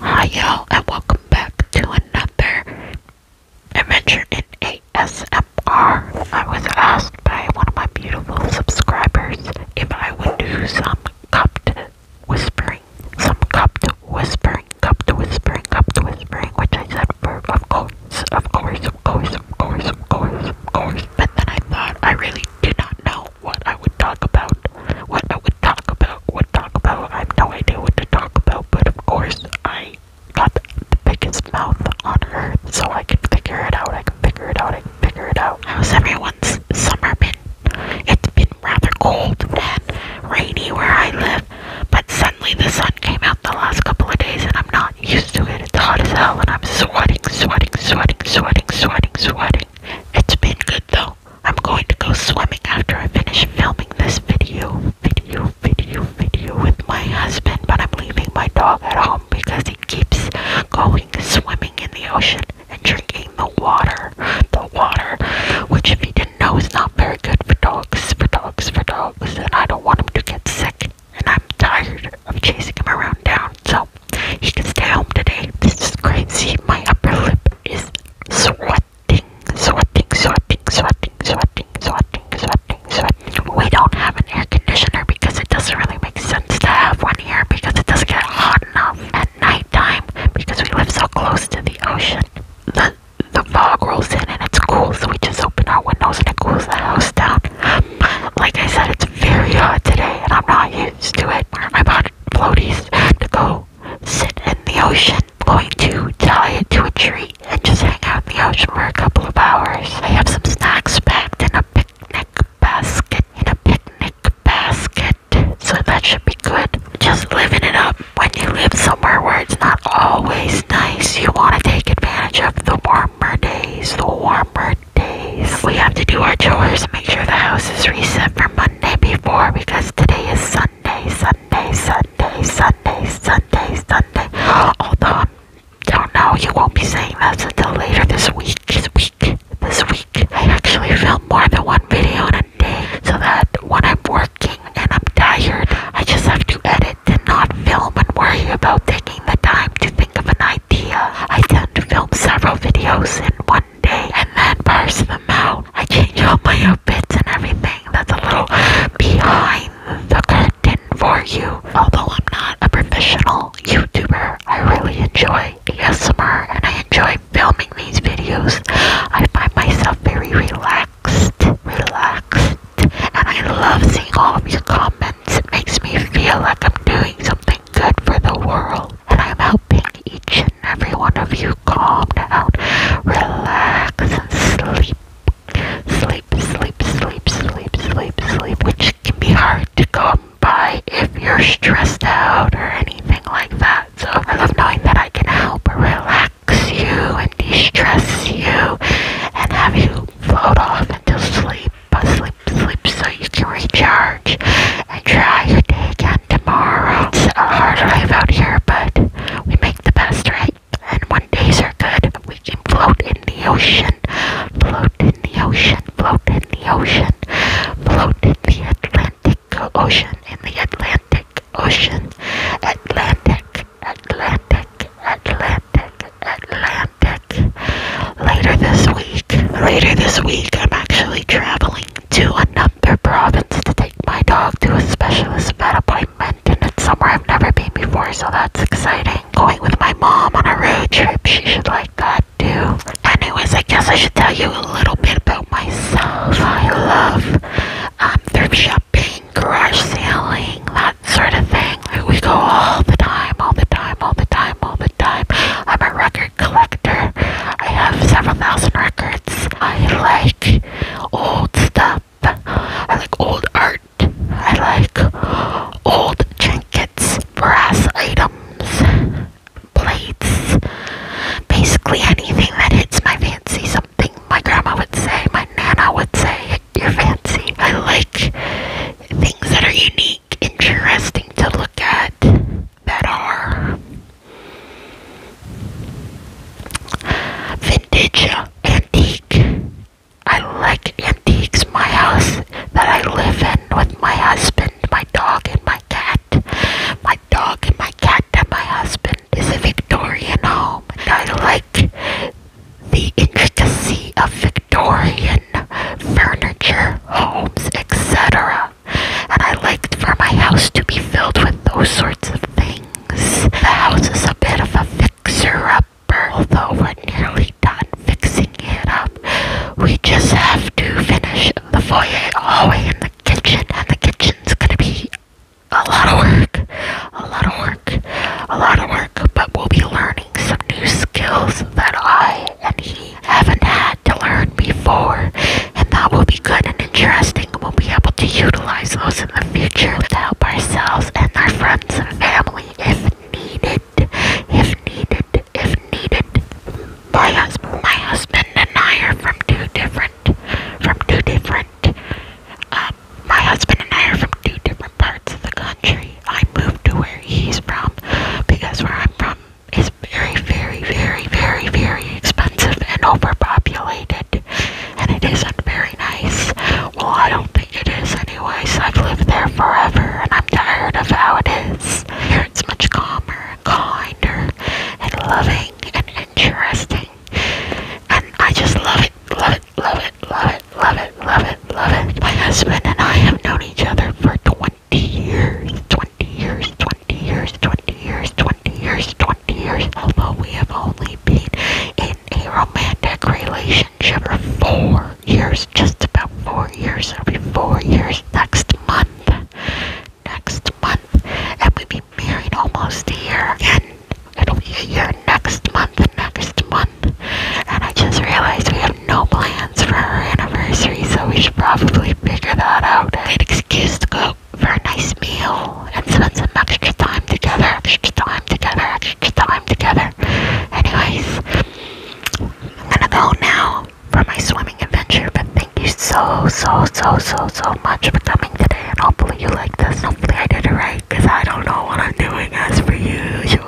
Hi y'all and welcome back to another adventure in ASMR. I was asked by one of my beautiful subscribers if I would do some cupped whispering. Some cupped whispering, cupped whispering, cupped whispering, which I said for of course, of course, of course, of course, of course, of course. But then I thought I really do not know what I would talk about. What I would talk about, what talk about. I have no idea what to talk about, but of course I got the biggest mouth on earth, so I can figure it out, I can figure it out, I can figure it out. How's everyone's summer been? It's been rather cold and rainy where I live, but suddenly the sun came out the last couple of days and I'm not used to it. It's hot as hell and I'm sweating, sweating, sweating, sweating, sweating, sweating. It's been good though. I'm going to go swimming after I finish filming this video, video, video, video with my husband, but I'm leaving my dog at home because he keeps going swimming in the ocean and drinking the water, the water, which if you didn't know is not very good for dogs, for dogs, for dogs, and I don't want him to get sick, and I'm tired of chasing him around town so he can stay home today. This is crazy. My upper lip is sweating, sweating, sweating, sweating, sweating, sweating, sweating, sweating. We don't have an air conditioner because it doesn't really make sense to have one here because it doesn't get hot enough at nighttime because we live so close to the ocean. The the fog rolls in and it's cool, so we just open our windows and it cools the house down. Like I said, it's very hot today, and I'm not used to it. I bought floaties to go sit in the ocean. Going to tie it to a tree and just hang out in the ocean for a couple of hours. I have some snacks packed in a picnic basket. In a picnic basket, so that should be good. Just living it up. When you live somewhere where it's not always nice, you want to take advantage of the warmer days, the warmer days. We have to do our chores. Make sure the house is reset for Monday before because today is Sunday, Sunday, Sunday, Sunday, Sunday, Sunday. Although I um, don't know, you won't be saying this until later this week. This week, this week. I actually film more than one video a day so that when I'm working and I'm tired, I just have to edit did not film and worry about taking the time to think of an idea. I tend to film several videos in one day and then parse them out. I change all my outfits and everything that's a little behind the curtain for you. Although I'm not a professional YouTuber, I really enjoy ASMR and I enjoy filming these videos. I find myself very relaxed, relaxed, and I love seeing all of your comments. It makes me feel like I'm doing something good for the world. And I'm helping each and every one of you calm down, relax, and sleep. Sleep, sleep, sleep, sleep, sleep, sleep, which can be hard to come by if you're stressed out or anything like that. So I love knowing that I can help relax relax you and distresses you and have you float off into sleep, but uh, sleep, sleep so you can recharge and try your day again tomorrow. It's a hard life out here, but we make the best, right? And when days are good, we can float in the ocean, float in the ocean, float in the ocean, float in the Atlantic Ocean, in the Atlantic Ocean, Atlantic, Atlantic, Atlantic, Atlantic. Later this week, later this week, I'm actually traveling to another province to take my dog to a specialist vet appointment, and it's somewhere I've never been before, so that's exciting. Going with my mom on a road trip, she should like that too. Anyways, I guess I should tell you a little bit about myself. I love I'm um, through shopping, garage selling, that sort of thing. We go all the time, all the time, all the time, all the time. I'm a record collector. I have several thousand records. I like old stuff. I like old art. I like old trinkets, brass items plates, basically anything that hits my fancy. Something my grandma would say, my nana would say, your fancy. I like things that are unique, interesting to look at, that are vintage, antique. I like antiques. My house that I live in with my husband, my dog, and my cat. My my dog and my cat and my husband is a Victorian home. And I like the intricacy of Victorian furniture, homes, etc. And I liked for my house to be filled with those sorts of things. The house is a bit of a fixer-upper, although we're nearly done fixing it up. We just have to finish the foyer, hallway, and the kitchen. And the kitchen's gonna be a lot of work, a lot of work, a lot of work. But we'll be learning some new skills that I and he haven't had to learn before, and that will be good and interesting. We'll be able to utilize those in the future to help ourselves and our friends and family if needed if needed if needed my husband my husband and I are from two different from two different um, my husband and I are from two different parts of the country I moved to where he's from because where I'm from is very very very very very expensive and overpopulated and it isn't very nice well I don't think like it is anyways. I've lived there forever and I'm tired of how it is. Here it's much calmer, kinder, and loving and interesting. And I just love it, love it, love it, love it, love it, love it, love it. My husband and I have known each other for 20 years, 20 years, 20 years, 20 years, 20 years, 20 years. Although we have only been in a romantic relationship for four years, just about four years. It'll be four years next month. Next month. And we've been married almost a year. And it'll be a year next month, next month. And I just realized we have no plans for our anniversary, so we should probably figure that out. An excuse to go for a nice meal and spend some extra time together, extra time together, extra time together. Anyways, I'm gonna go now for my swimming adventure, but thank you so, so, so, so, so much for coming today, and hopefully you like this. Hopefully I did it right, I don't know what I'm doing as per usual.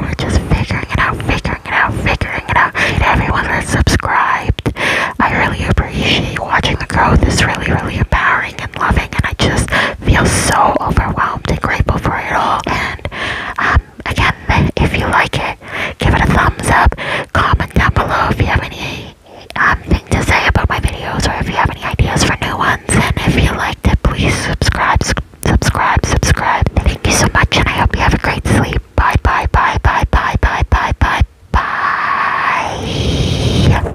We're just figuring it out, figuring it out, figuring it out. And everyone that's subscribed, I really appreciate watching the growth. It's really, really empowering and loving, and I just feel so overwhelmed and grateful for it all. And um, again, if you like it, give it a thumbs up. Comment down below if you have any um, thing to say about my videos or if you have any ideas for new ones. And if you liked it, please subscribe, subscribe, subscribe. Thank you so much, and I hope you have a great sleep. Bye, bye, bye, bye, bye, bye, bye, bye, bye.